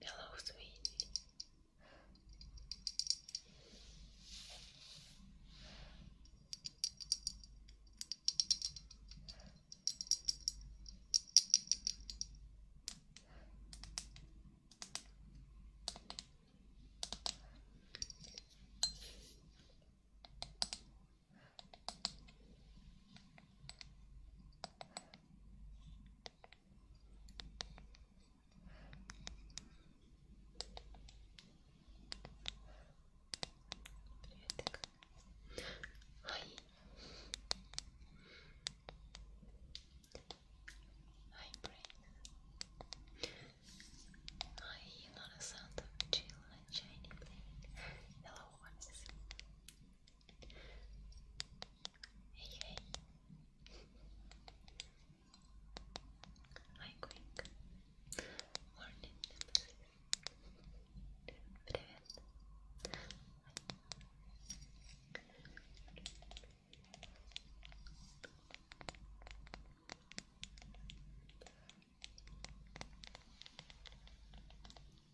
Hello, sweetie. Приветик. Ай. Ай, brain. Ай, not chill and shiny plane. Hello, horses. Hey, hey. Hi, quick. Morning. Привет.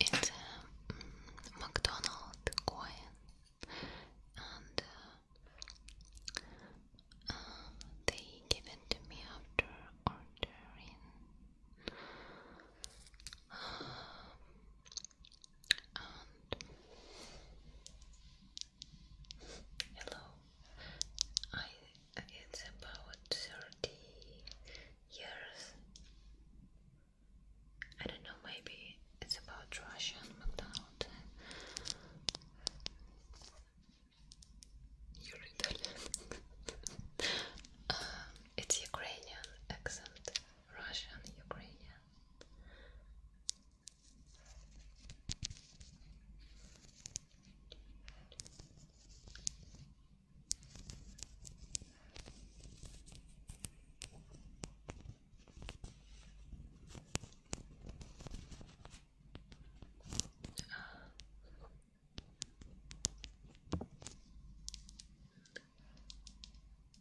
It's a uh, McDonald's mm, McDonald coin, and uh, uh, they gave it to me after ordering hello. it's about thirty years. I don't know. Maybe it's about Russian McDonald's. You're um, it's Ukrainian accent. Russia Russian, Ukrainian.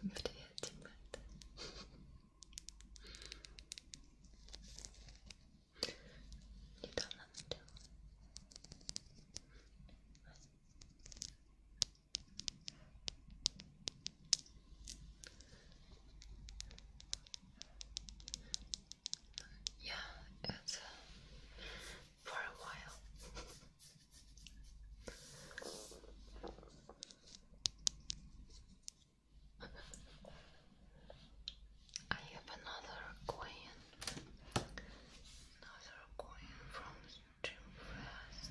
Привет, ребята. Недавно начала. Я это for a while. I have another coin, another coin from Jim Fast.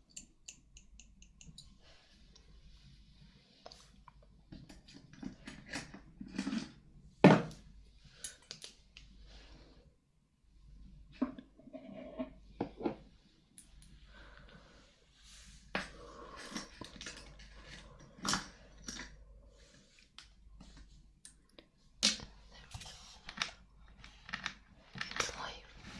It's life.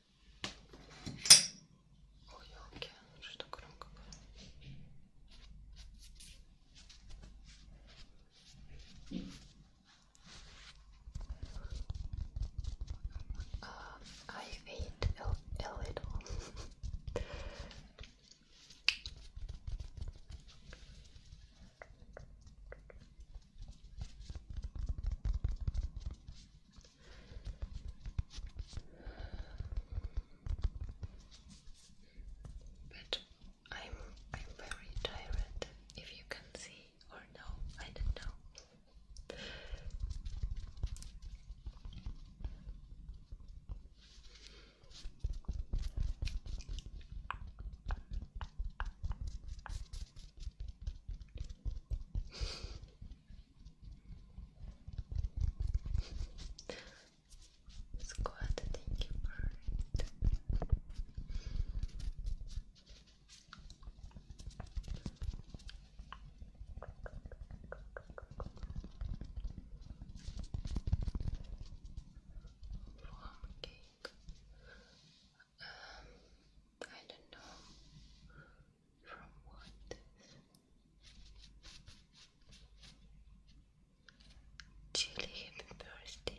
Ой, елки, что громко было. Uh, I ate a, a little. But I'm very tired if you can see or no, I don't know. Squad, thank you for it. Warm um, I don't know from what Julie, happy birthday.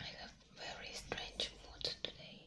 I have very strange mood today.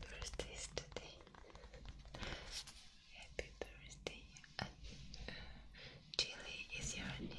Birthday Happy birthday. And, Chili is your name.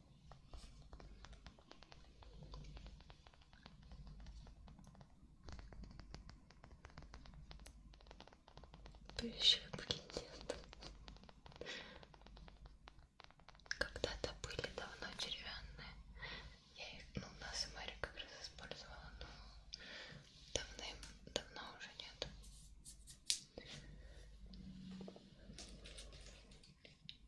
Прищепки нет. Когда-то были давно деревянные. Я их, ну, у нас и Мария как раз использовала, но давно, давно уже нет.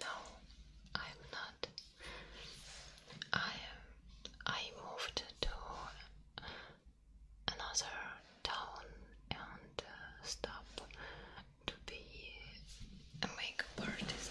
No, I'm not. I I moved to another town and uh, stop to be uh, a makeup artist.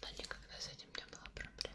но никогда с этим не было проблем.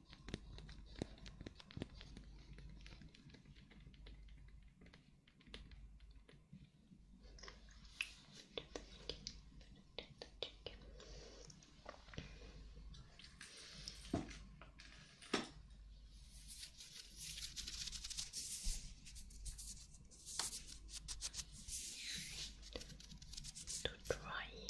to dry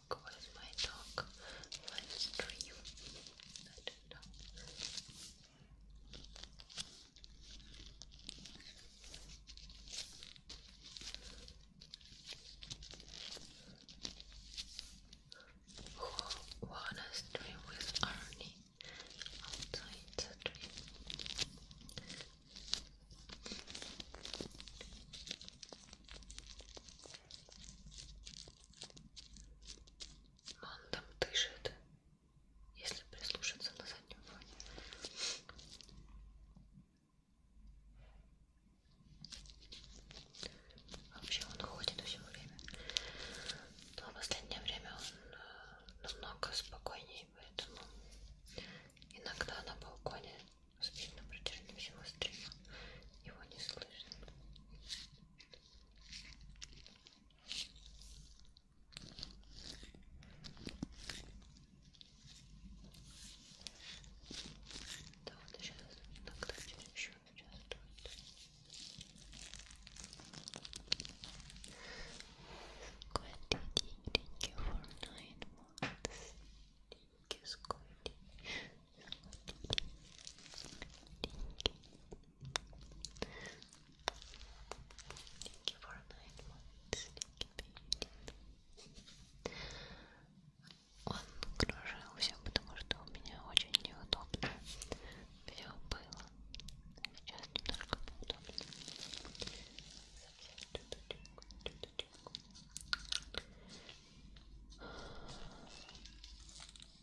dog? What is my dog? I Who wanna dream with Arnie outside the dream? Но он там дышит, если прислушаться на заднем фоне. Вообще он ходит все время. Но в последнее время он э, намного спокойнее, поэтому иногда на балконе спит на протяжении всего стрима. Его не слышно. Да, вот сейчас тогда еще участвует. Squiddy, thank you for nine months. Thank you, Squiddy. you for a night one, Он кружился, потому что у меня очень неудобно все было. Сейчас немножко поудобнее. Совсем чуточку, чуточку.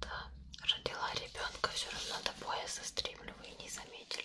Да, родила ребенка, все равно до пояса стримлю, вы не заметили.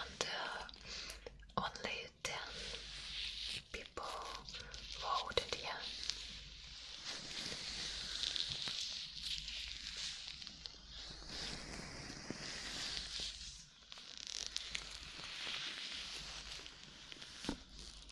and uh, only ten people voted yeah.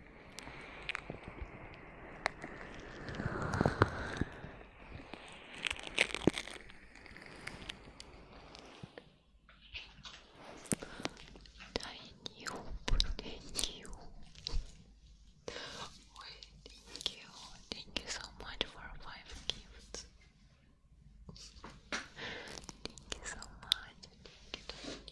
Thank you. Wait, thank you. Thank you so much for five gifts. Thank you so much. thank you.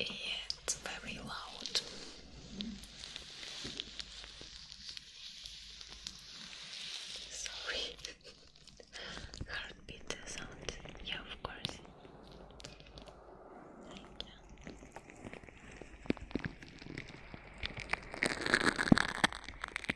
It is very loud. Sorry, heartbeat sound. Yeah, of course. I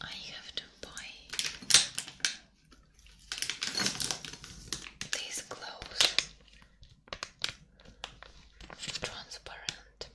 I have to buy these clothes transparent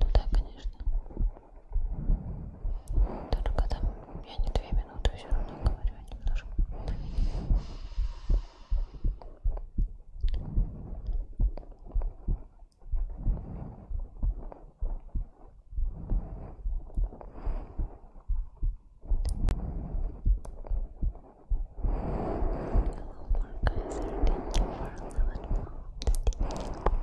Ну да, конечно. Только там я не две минуты все равно говорю а немножко. Hello, Marcus. Thank you for 11 months. Thank you.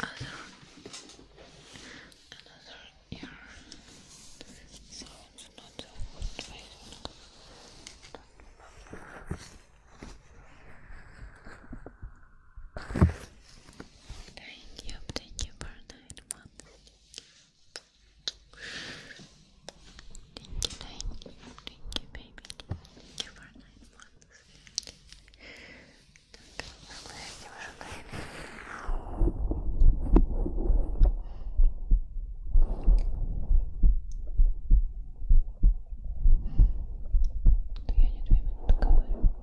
Other, another ear. So not so good. Thank you, thank you for nine Thank you, thank you, thank baby. Thank you for nine months. Я не твоя минутка говорю.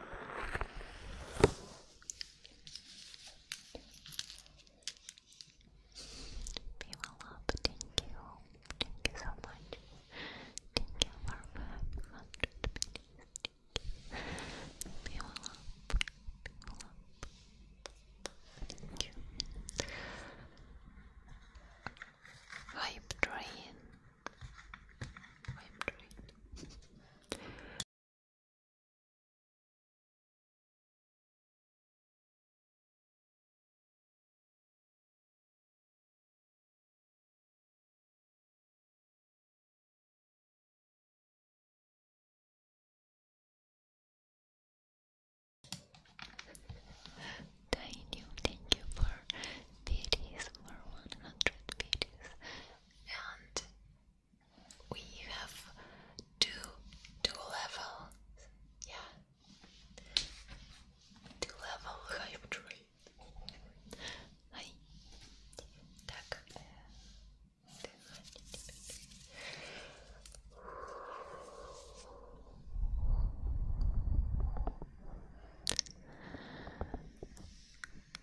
People love, thank you. Thank you so much. Thank you for 500 minutes. People love, people love. Thank you. Hype train. Thank you, thank you for videos for 100 videos and we have two two level yeah two level hybrid. Hi.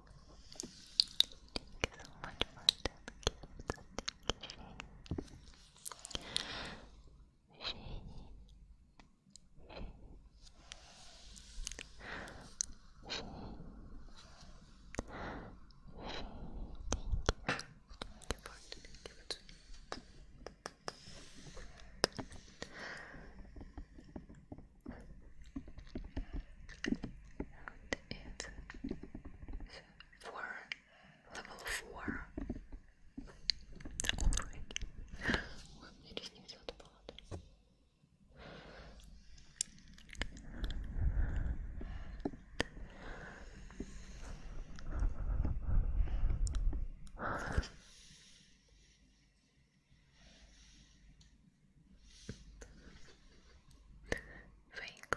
Thank you so much for the gift. Thank you, Shane. Shane. Shane. Shane. Shane. Thank you. Thank you for the gift. And it's for level 4. Ой, мне ресницы отпадают for English.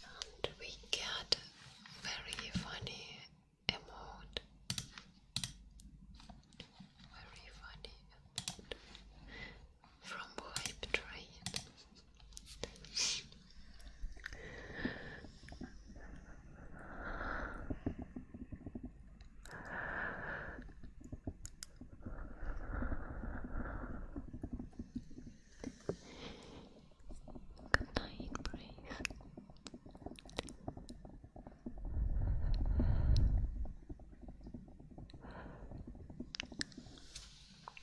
And we get very funny emote. Very funny emote from White Train. Good night, please.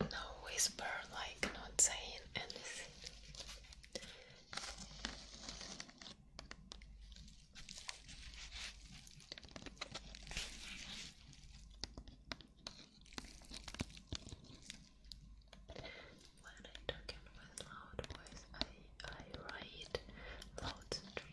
No whisper, like not saying anything. When I talk with loud voice, I I write loud stream.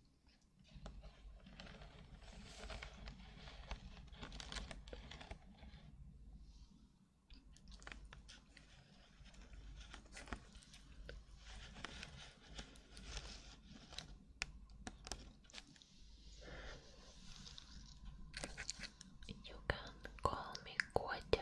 You can call me Kotya.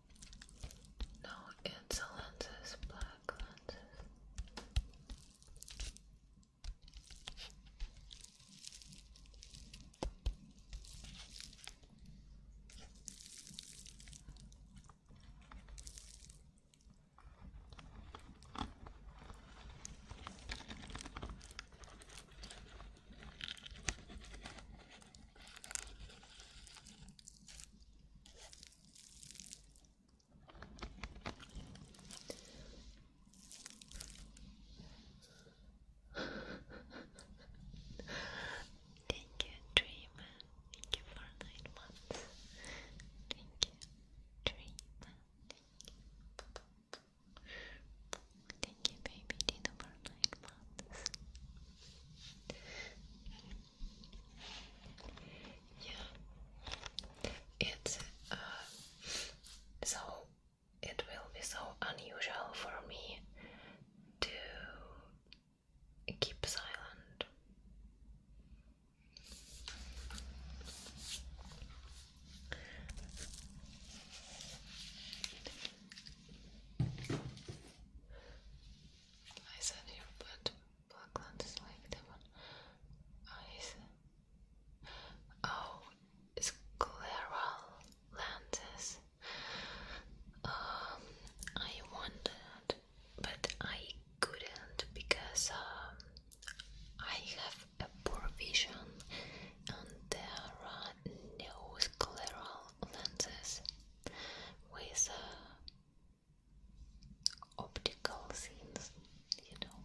No, it's the lenses, black lenses. Thank you, Dream. Thank you for nine months. Thank you, Dream. Thank you, Thank you for nine months. Yeah, it's uh, so it will be so unusual for me to keep silent. I said you, but Blackland is like the one I said. Oh, scleral lenses. Um, I wanted, but I couldn't because um, I have a poor vision and there are no scleral lenses with uh, optical scenes, you know.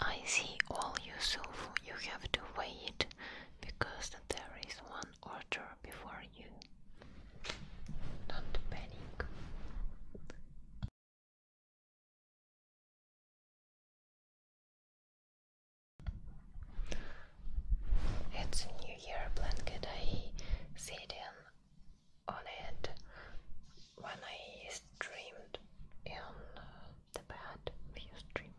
I see all you Yusuf, you have to wait because there is one order before you. Don't panic. It's a New Year blanket I see in on it when I streamed in uh, the bad few streams.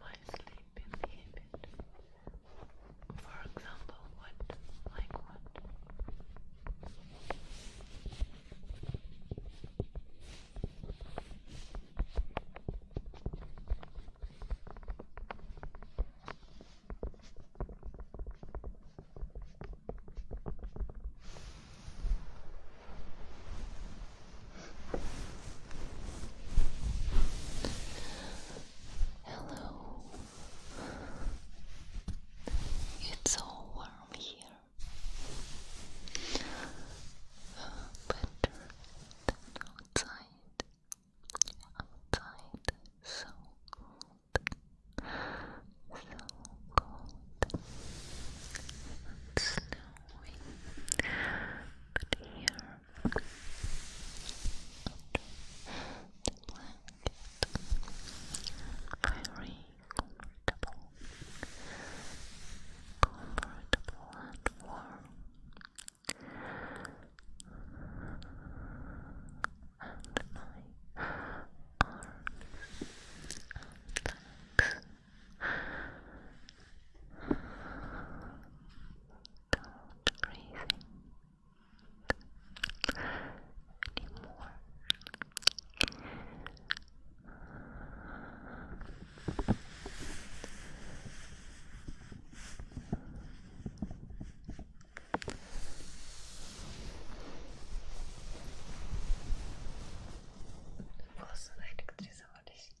my sleeping habit. For example, what? Like what? Hello. It's so warm here. Uh, outside. Outside so cold. So cold. It's snowing. But here very comfortable, comfortable and warm. And my arms and don't breathe anymore. Nasıl elektriği var işte.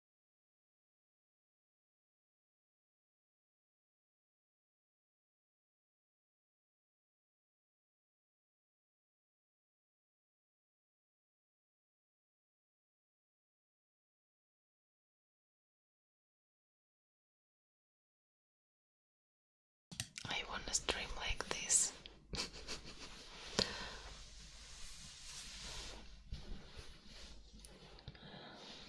I wanna stream like this.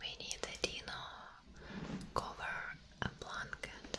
We need a dino cover, a blanket.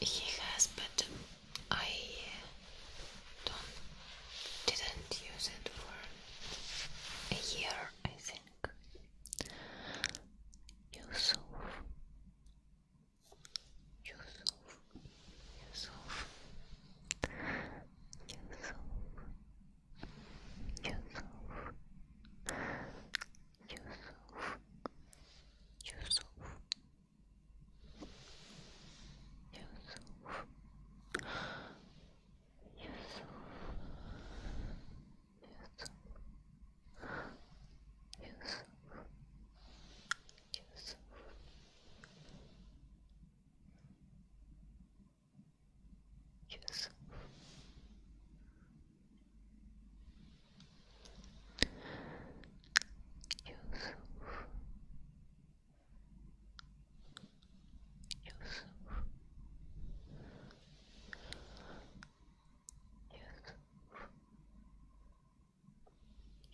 He has, but I didn't use it for a year, I think. Yusuf, Yusuf, Yusuf, Yusuf, Yusuf. Yusuf Yusuf Yusuf Yusuf Yusuf Yusuf Yusuf Yusuf Yusuf Yusuf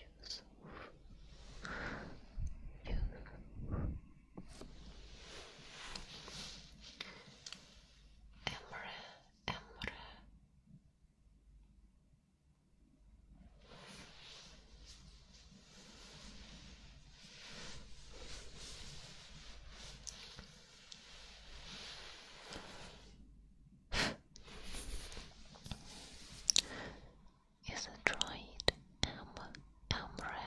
Yusuf Yusuf Emre, Emre, is a droid Amra Amra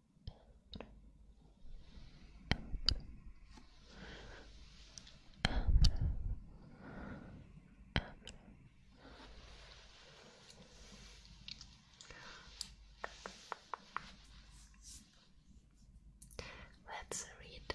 Let's read.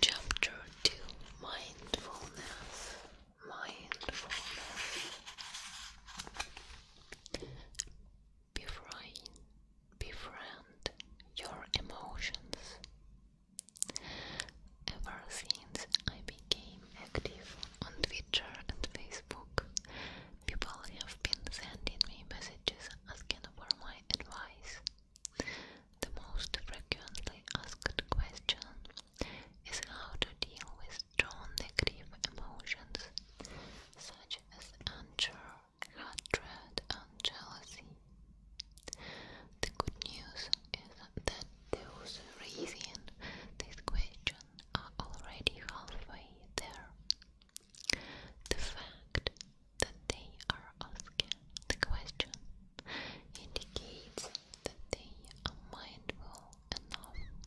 Chapter Two Mindfulness. Mindfulness. Befriend, befriend your emotions. Ever since I became active on Twitter and Facebook, people have been sending me messages asking for my advice. The most frequently asked question is how to deal with strong negative emotions such as anger, hatred, and jealousy. The good news is that those raising this question are already halfway there. The fact that they are asking the question indicates that they are mindful enough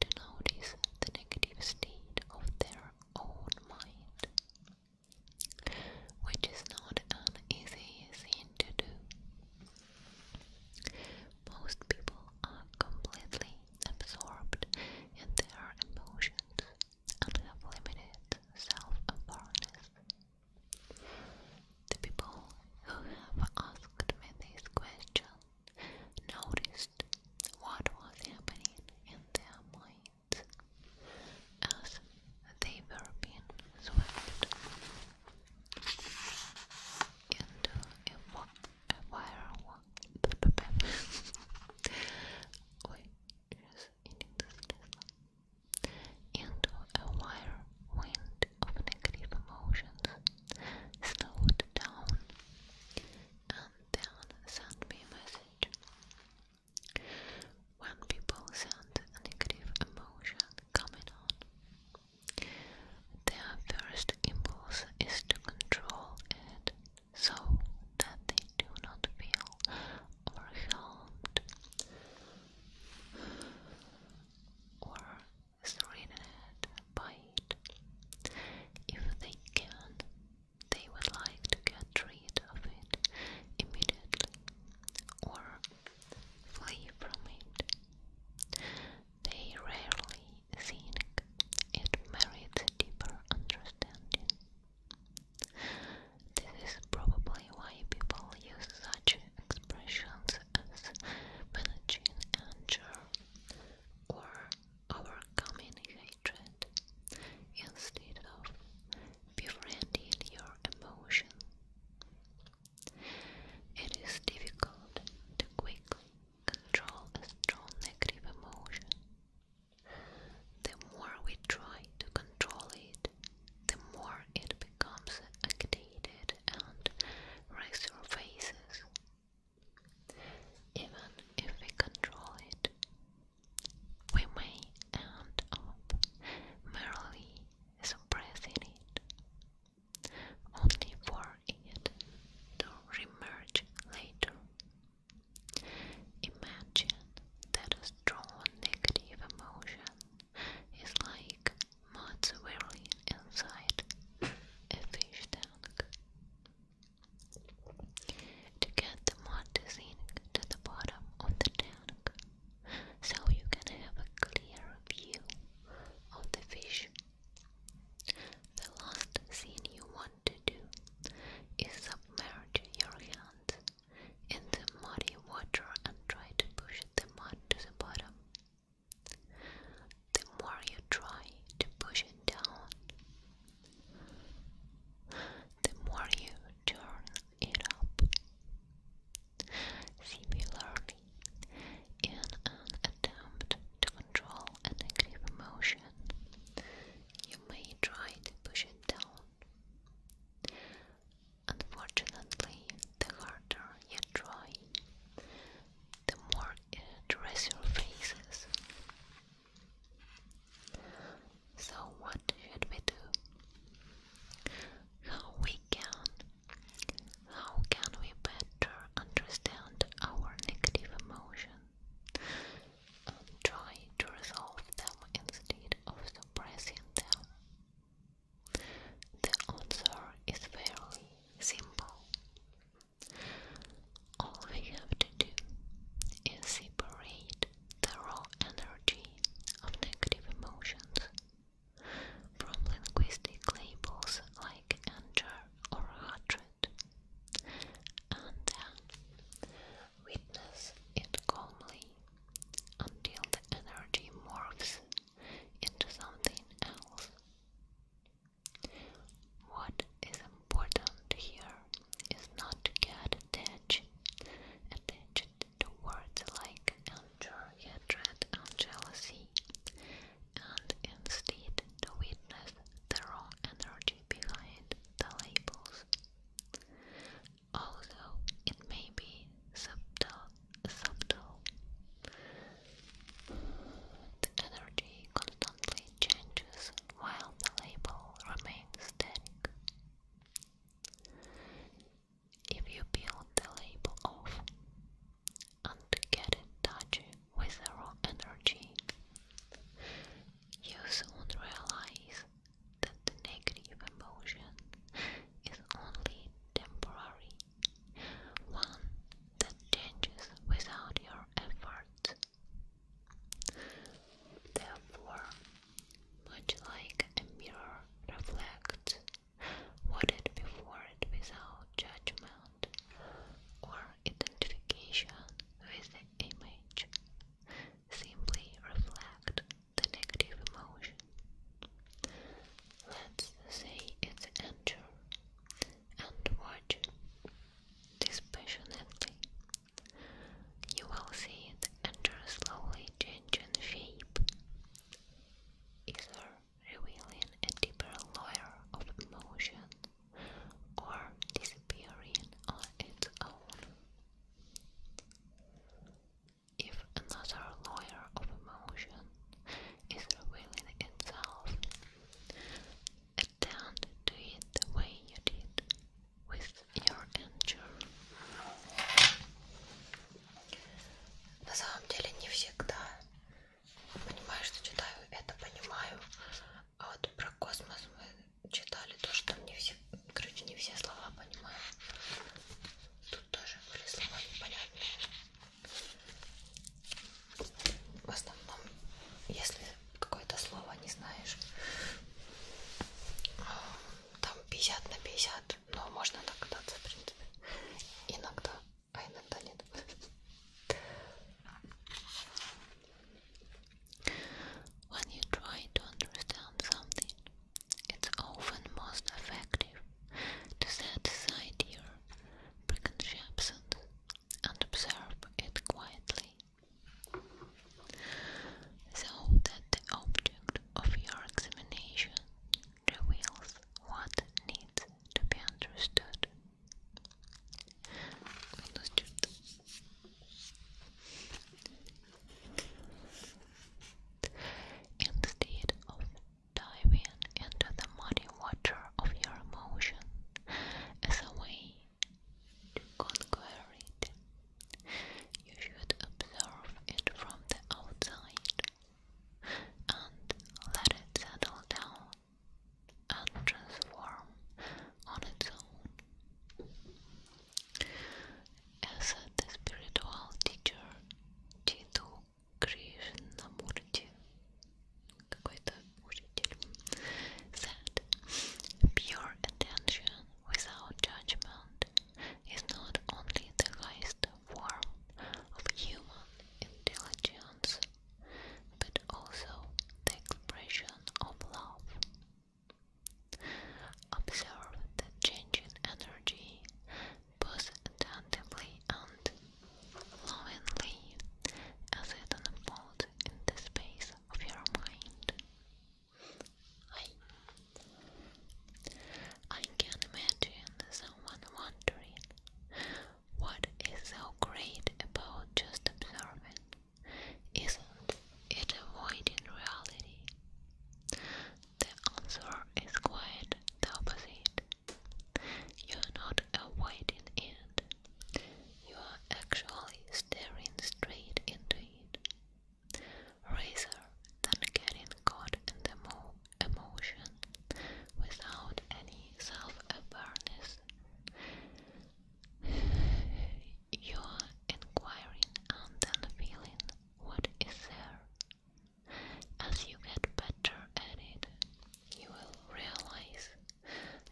to notice the negative state of their own mind, which is not an easy thing to do. Most people are completely absorbed in their emotions and have limited self-awareness. The people who have asked me this question noticed what was happening in their minds as they were being swept into a, wire wind of negative emotions, slowed down, and then sent me a message. When people send a negative emotion coming on, their first impulse is to control it so that they do not feel overwhelmed or threatened by it. If they can, they would like to get rid of it immediately or flee from it. They rarely think it merits a deeper understanding. This is probably why people use such expressions as managing anger or overcoming hatred instead of befriending your emotion. It is difficult to quickly control a strong negative emotion. The more we try to control it, the more it becomes agitated and resurfaces. Even if we control it, we may end up merely suppressing it only for it to remerge later. Imagine that a strong negative emotion is like mud swirling inside a fish tank. To get the mud to sink to the bottom of the tank, so you can have a clear view of the fish the last thing you want to do is submerge your hand in the muddy water and try to push the mud to the bottom. The more you try to push it down, the more you turn it up. Similarly, in an attempt to control a negative emotion, you may try to push it down. Unfortunately, the harder you try, the more it resurfaces. So, what should we do? How we can how can we better understand our negative emotions and try to resolve them instead of suppressing them? The answer is fairly simple. All we have to do is separate the raw energy of negative emotions from linguistic labels like anger or hatred, and then witness it calmly until the energy morphs into something else. What is important here is not to get attached, attached to words like anger, hatred, and jealousy, and instead to witness the raw energy behind the labels. Although it may be subtle, subtle, the energy constantly changes while the label remains static. If you peel the label off, and get in touch with their own energy. You soon realize that the negative emotion is only temporary, one that changes without your effort. Therefore, much like a mirror reflects what before it without judgment sound or identification with the image simply reflect the negative emotion. Let's say it's anger and watch dispassionately. You will see it enter slowly changing shape, either revealing a deeper layer of emotion or disappearing on its own. If another layer of emotion is revealing itself, attend to it the way you did with your injury. На самом деле не всегда понимаю, что читаю, это понимаю. А вот про космос мы читали то, что не все, короче, не все слова понимаю. Тут тоже были слова непонятные. В основном, если какое-то слово не знаешь, а, там 50 на 50, но можно догадаться, в принципе, иногда. а иногда нет. When you try to understand something, it's often most effective to set aside your preconceptions and observe it quietly, so that the object of your examination reveals what needs to be understood. Минус Instead of diving into the muddy water of your emotion as a way to conquer it, you should observe it from the outside and let it settle down and transform on its own. As the spiritual teacher Chitu Krishnamurti, какой-то учитель, said, pure attention without judgment is not only the highest form of human intelligence but also the expression of love. Observe the changing energy both attentively and lovingly as it unfolds in the space of your mind. I, I can imagine someone wondering what is so great about just observing? Isn't it avoiding reality? The answer is quite the opposite. You're not avoiding it, you are actually staring straight into it. Rather than getting caught in the mo emotion without any self awareness, you are inquiring and then feeling what is there. As you get better at it, you will realize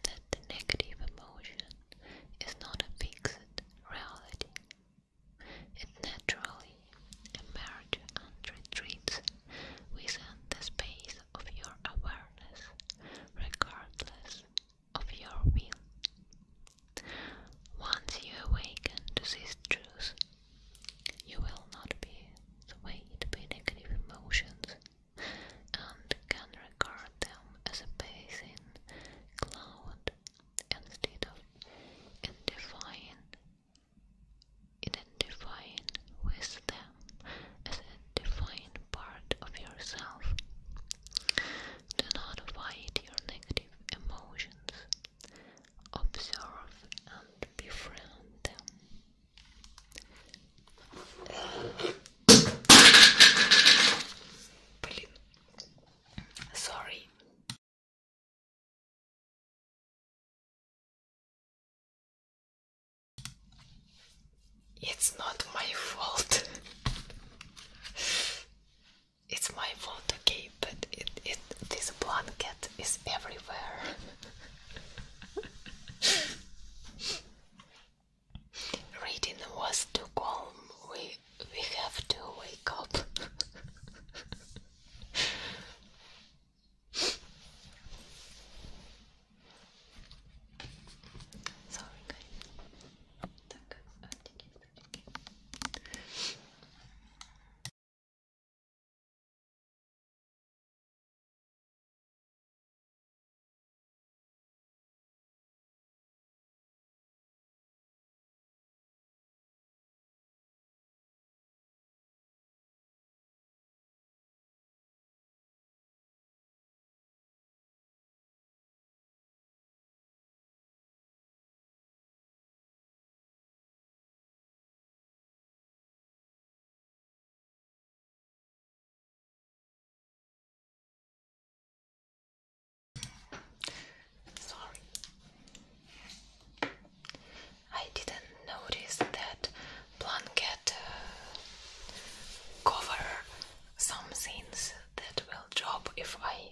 that the negative emotion is not a fixed reality. It naturally emerges and retreats within the space of your awareness, regardless of your will. Once you awaken to this truth, you will not be swayed by negative emotions and can regard them as a passing cloud instead of identifying, identifying with them as a defined part of yourself. Do not fight your negative emotions. Observe and befriend them. Sorry. It's not my fault. it's my fault, okay, but it, it this blanket is everywhere. Reading was too calm. We we have to wake up. Sorry, guys. Так, оттенки, оттенки. Sorry. I didn't notice that blanket uh, cover some scenes that will drop if I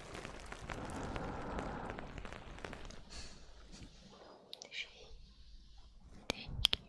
Thank you. Thank you so much. Thank you. Thank you.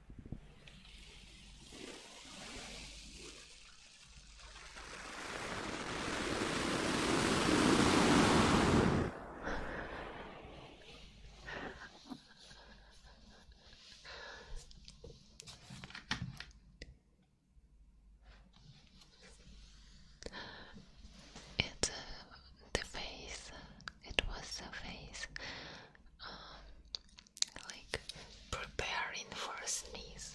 It's uh, the face, it was the face like preparing for a sneeze.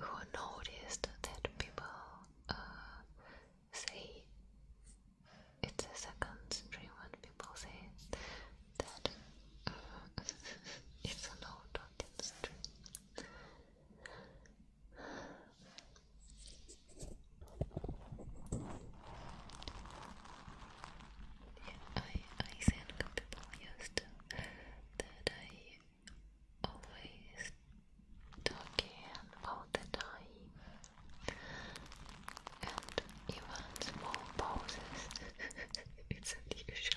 Who noticed that people uh, say it's a second dream when people say that uh, it's an old talking stream. Yeah, I, I think people used that I always talking all the time and even small pauses. it's unusual.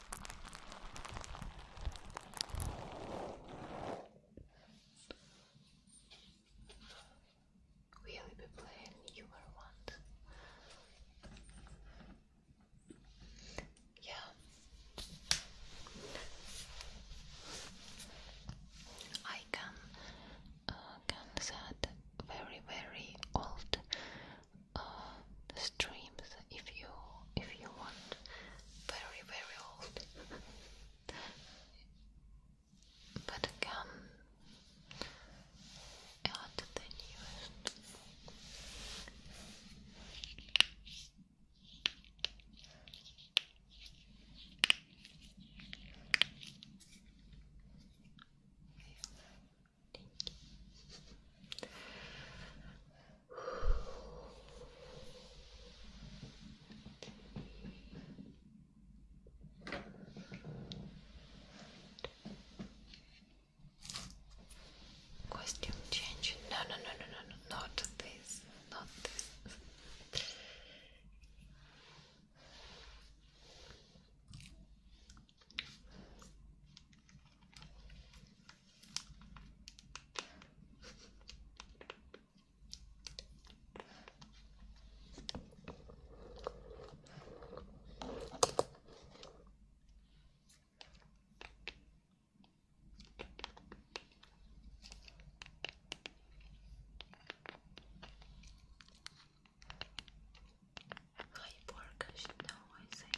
Will be playing you were Yeah. I can uh, can that very very old uh, the streams if you if you want very very old but again add the newest Thank you. Costume change. no, no, no, no, no, not this, not this. Ray Borges, não, essa é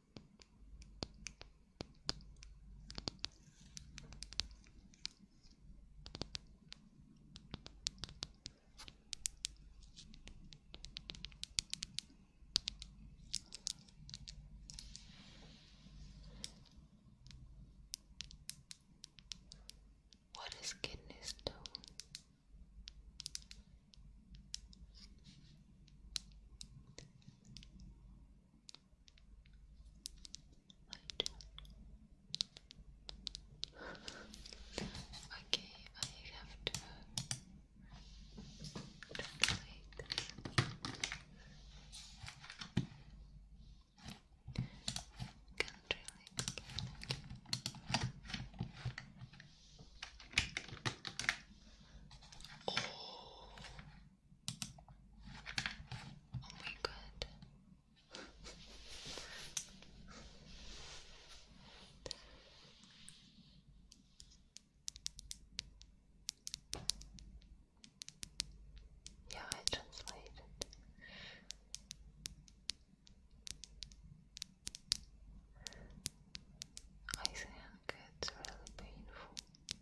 What does kidney stone? okay, I have to translate Can't really Oh my god. yeah, I translated. I think it's really painful.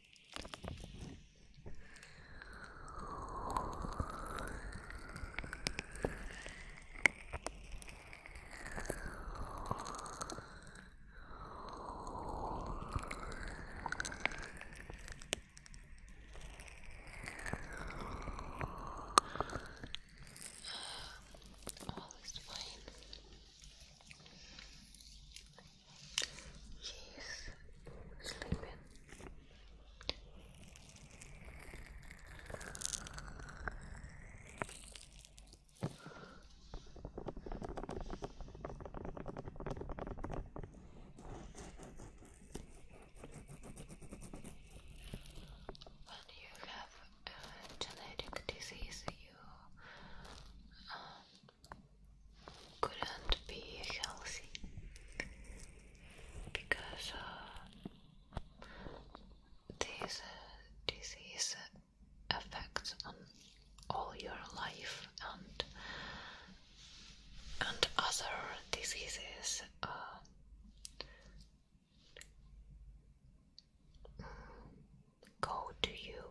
All oh, is fine. She's sleeping. When you have a genetic disease, you um, couldn't be healthy because uh, this uh, disease affects on all your life and and other diseases uh, go to you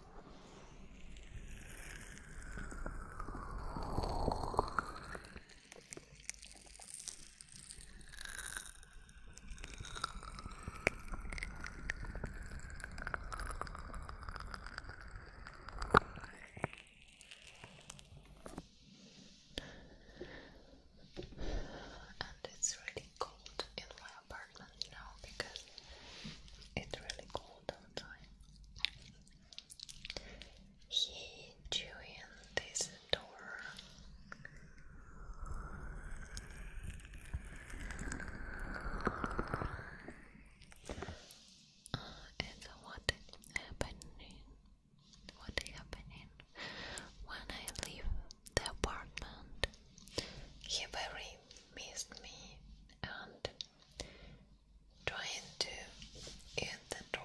And it's really cold in my apartment now because it's really cold all he drew this door. it's what happening. What happening when I leave the apartment? He very missed me, and trying to get the door.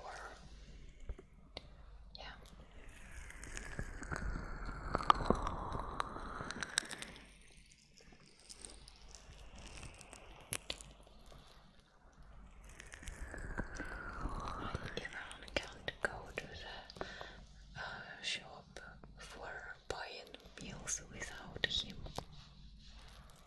Yeah. I can't go to the uh, shop for buying meals without him.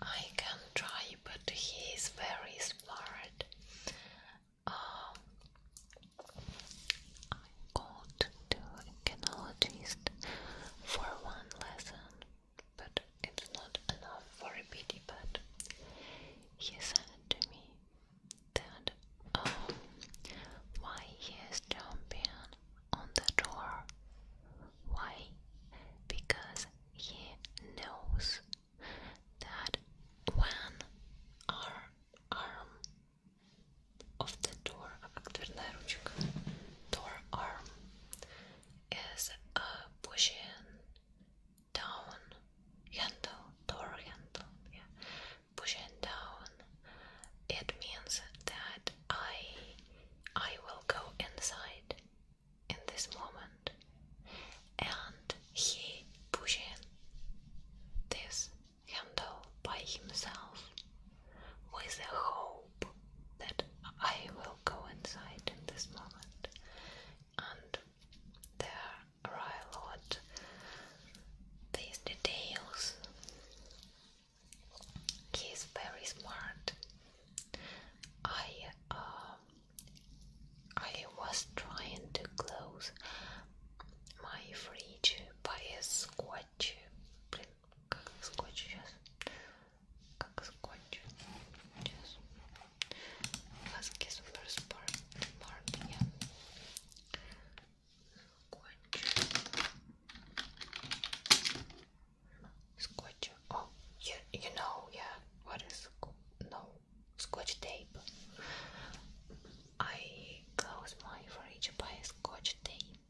I can try, but he is very smart. Um, I called to a kinologist for one lesson, but it's not enough for a pity. But he said to me, that um, oh, why he jumping on the door. Why? Because he knows that when our arm of the door, door arm is uh, pushing down handle, door handle, yeah, pushing down, it means that I I will go inside in this moment and he pushing this handle by himself with the hope that I will go inside in this moment and there cry a These details. He very smart. I uh, I was trying to close my fridge by a scotch. Блин, как скотч Как скотч? Сейчас. Husky super smart, smart, yeah. Scotch. Oh, you, you know, yeah. What is no scotch tape? I close my fridge by scotch tape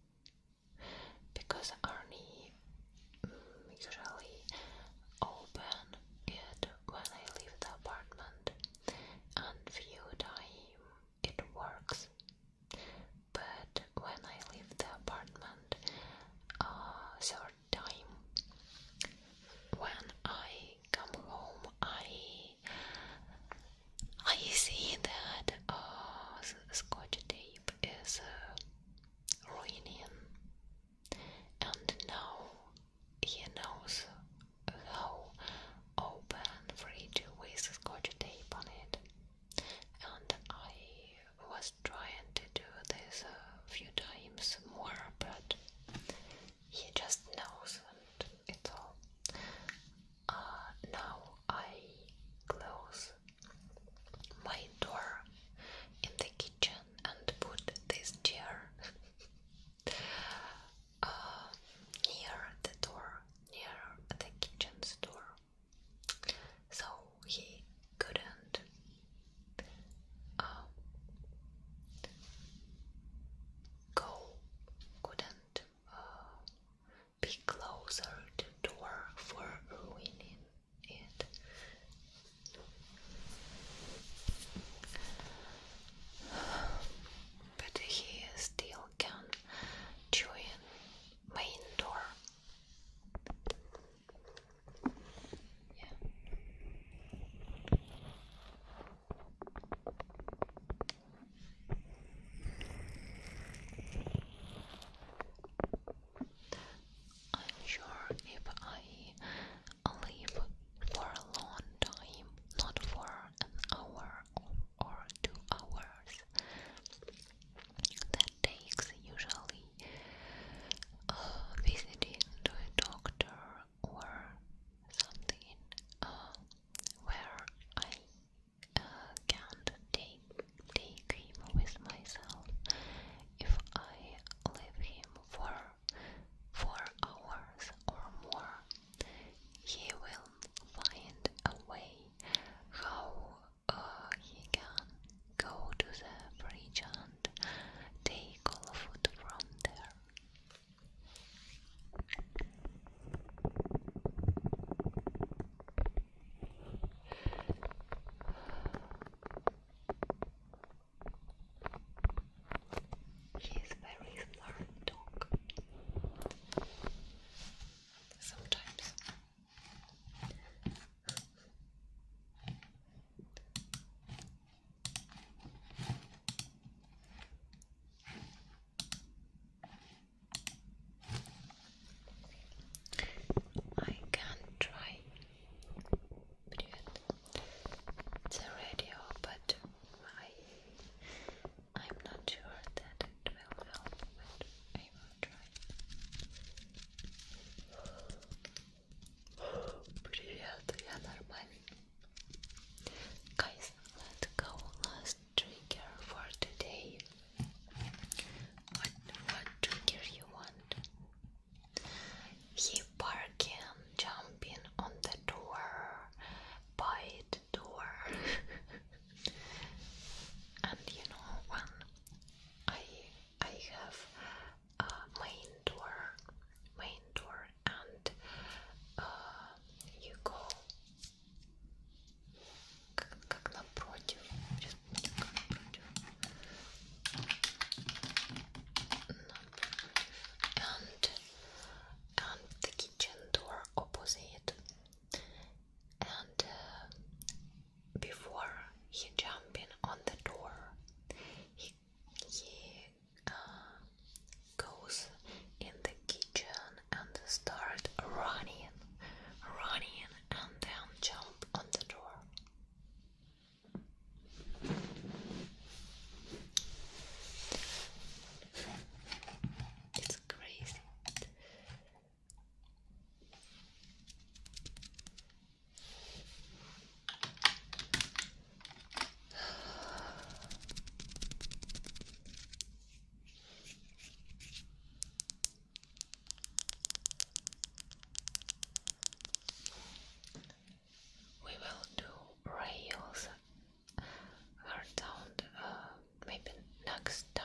because Arnie mm, usually open it when I leave the apartment and few time it works. But when I leave the apartment third time, when I come home, I I see that scotch tape is uh, ruining, and now he knows how open free fridge with scotch tape on it. And I was trying to do this a few times more, but he just knows and it's all. Uh, now I close my door in the kitchen and put this chair Uh, near the door, near the kitchen's door, so he couldn't um, go, couldn't uh, be closer to door for ruining it but he still can join main door. I'm sure if I live for a long time, not for an hour or, two hours. That takes usually visiting to a doctor or something where I uh, can't take take him with myself if I leave him for four hours or more he will find a way how uh, he can go to the bridge and take all food from there. She is very smart dog. Sometimes. I can try the radio, but I I'm not sure that it will help, but I Guys, let's go last trigger for today. What what you want? He barking, jumping on the door, bite door. and you know, when I I have a main door, main door, and uh, you go and the kitchen door opposite. And uh, before he jumping on the door, he uh, goes in the kitchen and start running, running, and then jump on the door. It's crazy. We will do rails her down uh, maybe next time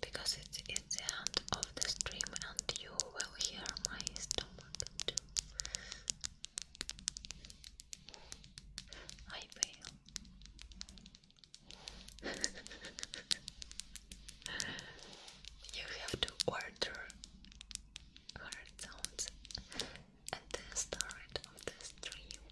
because it's in the end of the stream and you will hear my stomach too. I will. you have to order hard sounds at the start of the stream.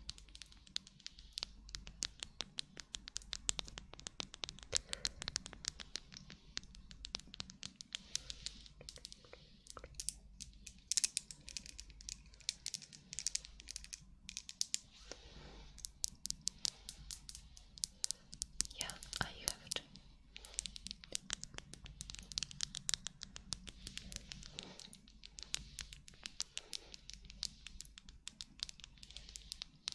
Yeah, I have it.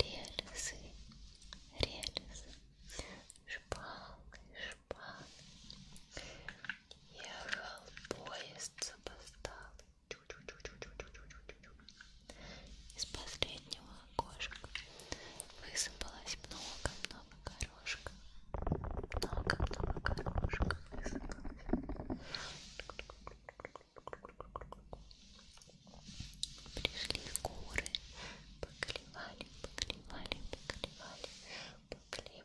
рельсы, рельсы, шпалы, шпалы. Ехал поезд запоздал. Из последнего окошка высыпалось много-много горошек. Много-много горошек высыпалось. Пришли горы, поклевали, поклевали, поклевали, поклевали,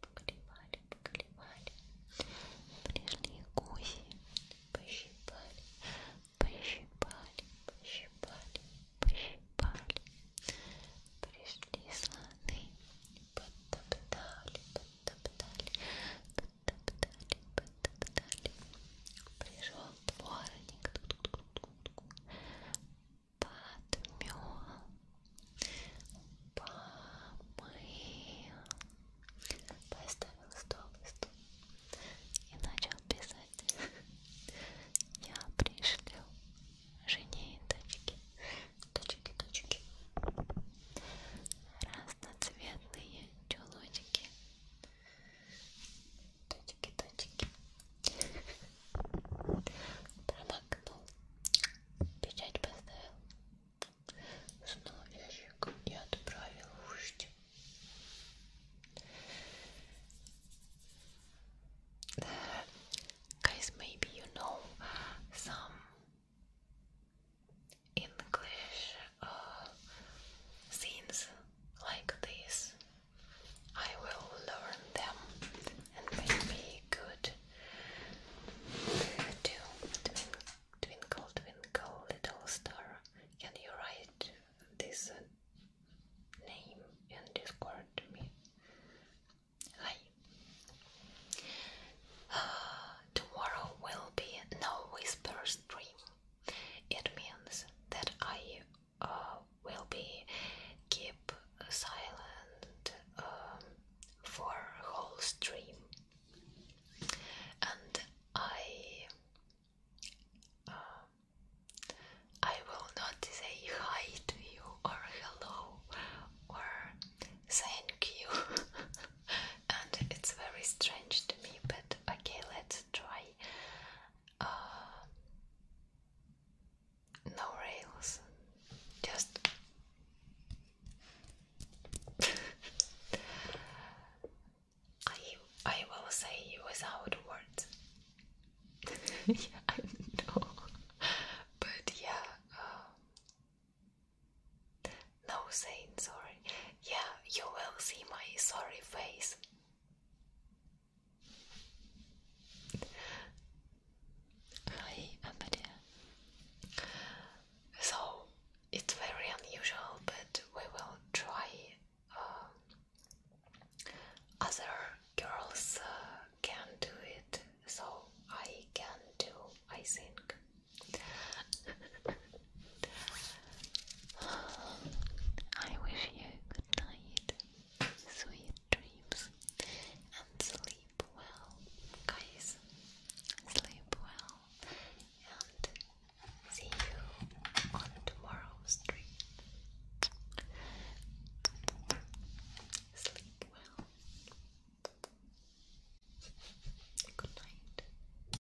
поклевали, поклевали. Пришли гуси, пощипали, пощипали, пощипали, пощипали. Пришли слоны, подтоптали, подтоптали, потоптали, потоптали. Пришел дворник, подмел, помыл, поставил стол и стул и начал писать. Я пришлю жене и дочке, дочке, дочке разноцветные чулочки Точки, точки. Промокнул. Печать поставил. Снова ящик и отправил вождь. Guys, maybe you know some English uh, scenes like this. I will learn them and maybe good to twinkle, twinkle, little star. Can you write this uh, name in Discord to me? Hi. Uh, tomorrow will be no whisper stream. It means that I uh, will be keep silent um, for whole stream, and I uh, I will not say hi to you or hello or thank you, and it's very strange to me. But okay, let's try uh, no rails, just I I will say without words. yeah, I know, but yeah, uh, no, Zane, sorry. Yeah, you will see my sorry face. Hi, Abadia. So, it's very unusual, but we will try uh, other girls uh, can do it, so I can do, I think. I wish you good night, sweet dreams, and sleep well, guys. Sleep well, and see you on tomorrow's stream. Sleep well. Good night.